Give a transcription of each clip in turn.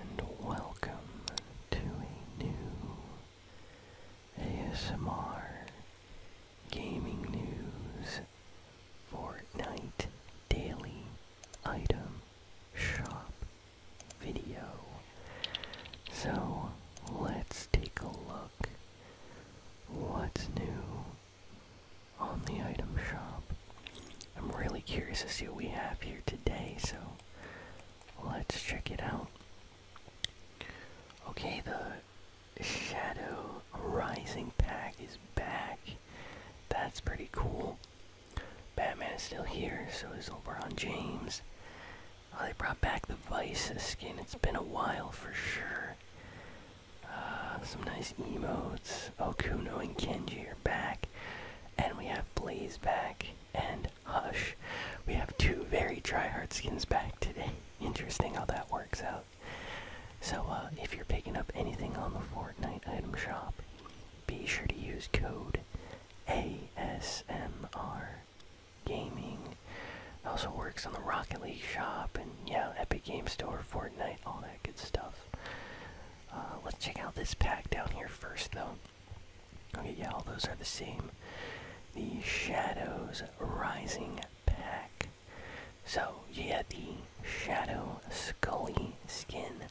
and welcome to a new ASMR Gaming News Fortnite Daily Item Shop video. So let's take a look what's new on the item shop. I'm really curious to see what we have here today, so Let's check it out. Okay, the Shadow Rising pack is back. That's pretty cool. Batman is still here, so is LeBron James. Oh, they brought back the Vice skin. It's been a while for sure. Uh, some nice emotes. Okuno and Kenji are back. And we have Blaze back and Hush. We have two very dry hard skins back today. Interesting how that works out. So, uh, if you're picking up anything on the Fortnite item shop, be sure to use code ASMR Gaming. also works on the Rocket League shop and, yeah, Epic Game Store, Fortnite, all that good stuff. Uh, let's check out this pack down here first, though. Okay, yeah, all those are the same. The Shadows Rising Pack. So, you get the Shadow Scully skin.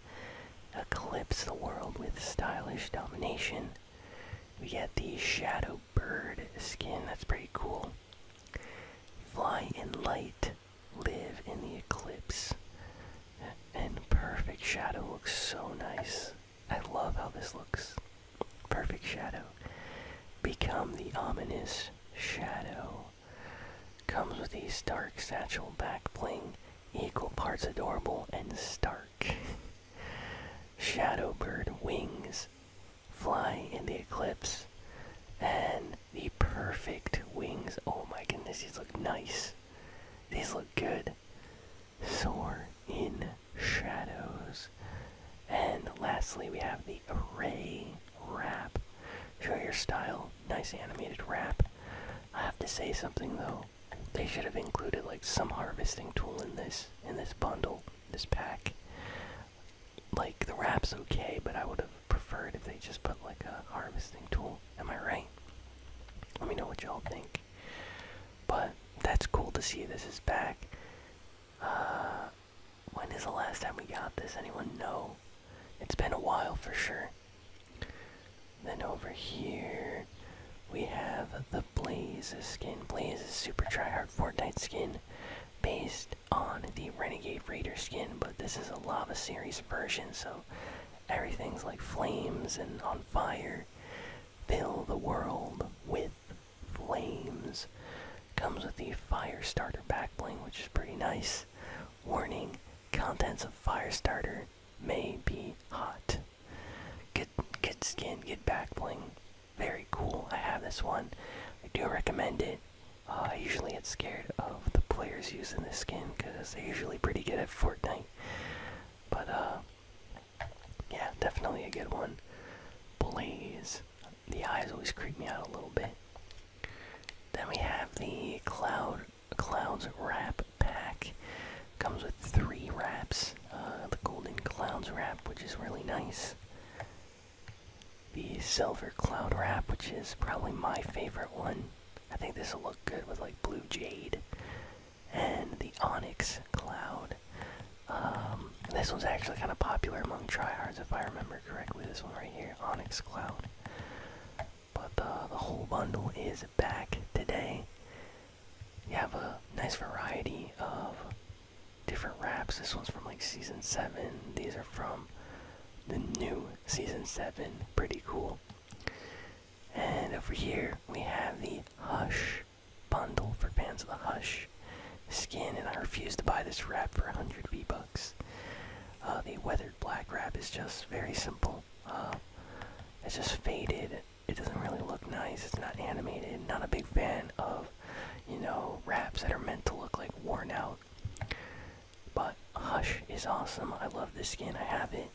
Eclipse the world with stylish domination. We get the Shadow Bird skin. That's pretty cool. Fly in light. Live in the eclipse. And perfect shadow looks so nice. I love how this looks. Perfect shadow. Become the ominous shadow. Comes with these dark satchel back bling, equal parts adorable and stark. shadow bird wings. Fly in the eclipse. And the perfect wings. Oh my goodness, these look nice. These look good. Soar in shadows. And lastly, we have the array wrap. Show your style. Nice animated wrap. I have to say something though. They should have included like some harvesting tool in this in this bundle, this pack. Like the wrap's okay, but I would have prefer it if they just put like a harvesting tool. Am I right? Let me know what y'all think. But that's cool to see this is back. Uh, when is the last time we got this? Anyone know? It's been a while for sure. Then over here, we have the Blaze skin. Blaze is super tryhard Fortnite skin based on the Renegade Raider skin, but this is a Lava Series version, so Everything's like flames and on fire. Fill the world with flames. Comes with the fire starter back bling, which is pretty nice. Warning: contents of fire starter may be hot. Good, good skin, good back bling. Very cool. I have this one. I do recommend it. I uh, usually get scared of the players using this skin because they're usually pretty good at Fortnite. But uh, yeah, definitely a good one. Blaze. The eyes always creep me out a little bit. Then we have the Cloud Clouds Wrap Pack. Comes with three wraps. Uh, the Golden Clouds Wrap, which is really nice the silver cloud wrap, which is probably my favorite one. I think this will look good with like blue jade and the onyx cloud. Um, this one's actually kind of popular among tryhards, if I remember correctly. This one right here, onyx cloud. But the, uh, the whole bundle is back today. You have a nice variety of different wraps. This one's from like season seven. These are from the new Season 7. Pretty cool. And over here, we have the Hush bundle for fans of the Hush skin, and I refuse to buy this wrap for 100 V-Bucks. Uh, the weathered black wrap is just very simple. Uh, it's just faded. It doesn't really look nice. It's not animated. Not a big fan of, you know, wraps that are meant to look like worn out but Hush is awesome. I love this skin. I have it.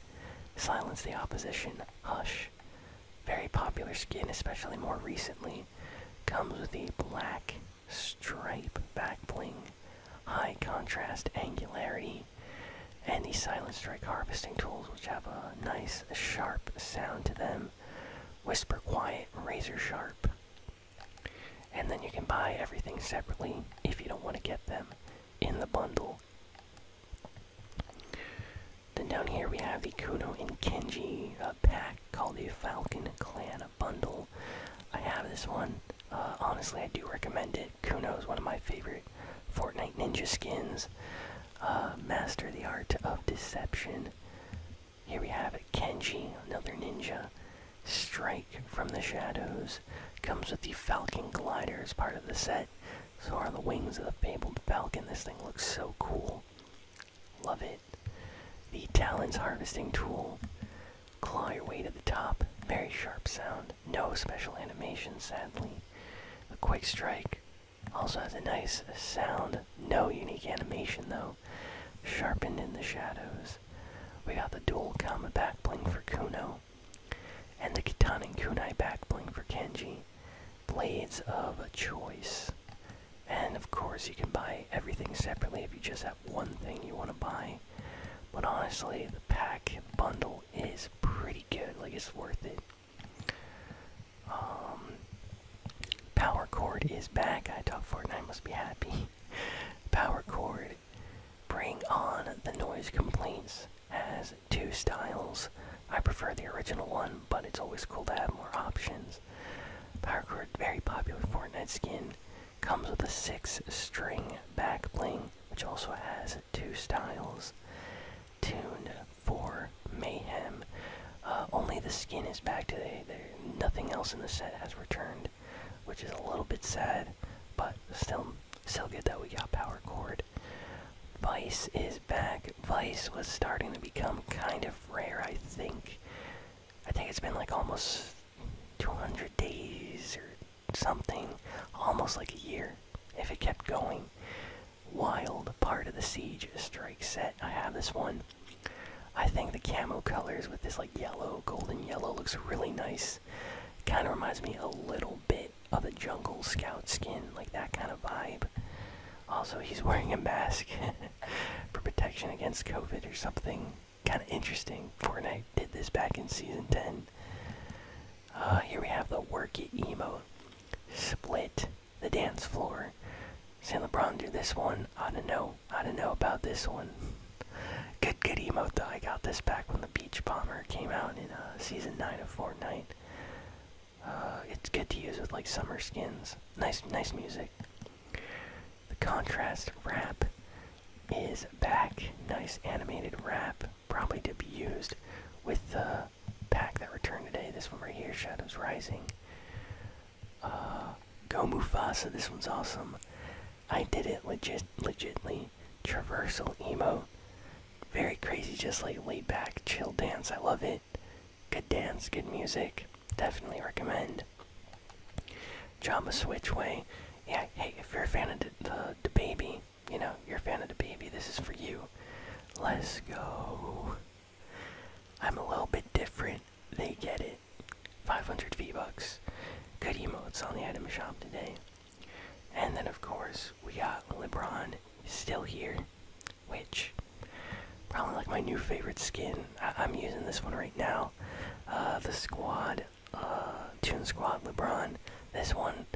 Silence the Opposition. Hush. Very popular skin, especially more recently. Comes with a black stripe back bling, high contrast angularity, and the Silent Strike harvesting tools, which have a nice sharp sound to them. Whisper Quiet, Razor Sharp, and then you can buy everything separately if you don't want to get them in the bundle. Then down here we have the Kuno and Kenji uh, pack called the Falcon Clan Bundle. I have this one. Uh, honestly, I do recommend it. Kuno is one of my favorite Fortnite Ninja skins. Uh, master the art of deception. Here we have Kenji, another ninja. Strike from the shadows. Comes with the Falcon Glider as part of the set. So are the wings of the fabled falcon. This thing looks so cool. Love it. The Talons Harvesting Tool. Claw your way to the top. Very sharp sound. No special animation, sadly. The quick strike. Also has a nice sound. No unique animation, though. Sharpened in the shadows. We got the dual Kama back bling for Kuno. And the and Kunai back bling for Kenji. Blades of a choice. And of course, you can buy everything separately if you just have one thing you want to buy. But honestly, the pack bundle is pretty good. Like, it's worth it. Um, power cord is back. I thought Fortnite must be happy. Power chord. Bring on the noise complaints has two styles. I prefer the original one, but it's always cool to have more options. Power chord, very popular Fortnite skin. Comes with a six string back bling, which also has two styles. Tuned for mayhem, uh, only the skin is back today. nothing else in the set has returned, which is a little bit sad, but still, still good that we got Power Cord. Vice is back. Vice was starting to become kind of rare, I think. I think it's been like almost 200 days or something, almost like a year, if it kept going. Wild part of the siege strike set. I have this one. I think the camo colors with this like yellow, golden yellow looks really nice. Kind of reminds me a little bit of a jungle scout skin, like that kind of vibe. Also, he's wearing a mask for protection against COVID or something. Kind of interesting. Fortnite did this back in season 10. Uh, here we have the worky emo Split the dance floor. San LeBron do this one. I don't know. I don't know about this one. good, good emote I got this back when the Beach Bomber came out in uh, season nine of Fortnite. Uh, it's good to use with like summer skins. Nice, nice music. The contrast wrap is back. Nice animated wrap, probably to be used with the pack that returned today. This one right here, Shadows Rising. Uh, go Mufasa, this one's awesome. I did it legit, legitly. Traversal emo. Very crazy, just like laid back, chill dance. I love it. Good dance, good music. Definitely recommend. Drama Switch Way. Yeah, hey, if you're a fan of the, the baby, you know, you're a fan of the baby, this is for you. Let's go. I'm a little bit different. They get it. 500 V-Bucks. Good emotes on the item shop today. And then, of course, we got LeBron still here, which probably like my new favorite skin. I am using this one right now. Uh, the squad, uh, Tune Squad LeBron. This one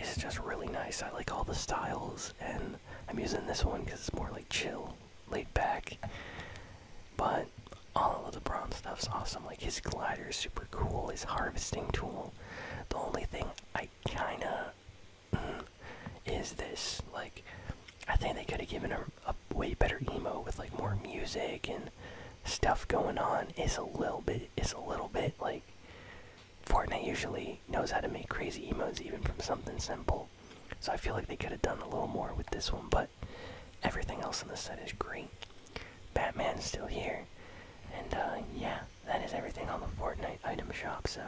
is just really nice. I like all the styles, and I'm using this one because it's more like chill laid back. But all of the brown stuff's awesome. Like his glider is super cool. His harvesting tool. The only thing I kinda mm, is this. Like I think they could have given him a way better emo with like more music and stuff going on. It's a little bit. It's a little bit like Fortnite usually knows how to make crazy emotes even from something simple. So I feel like they could have done a little more with this one, but everything else in the set is great. Batman's still here. And uh, yeah, that is everything on the Fortnite item shop. So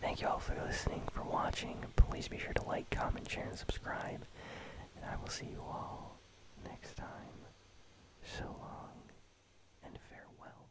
thank you all for listening, for watching. Please be sure to like, comment, share, and subscribe. And I will see you all next time. So long and farewell.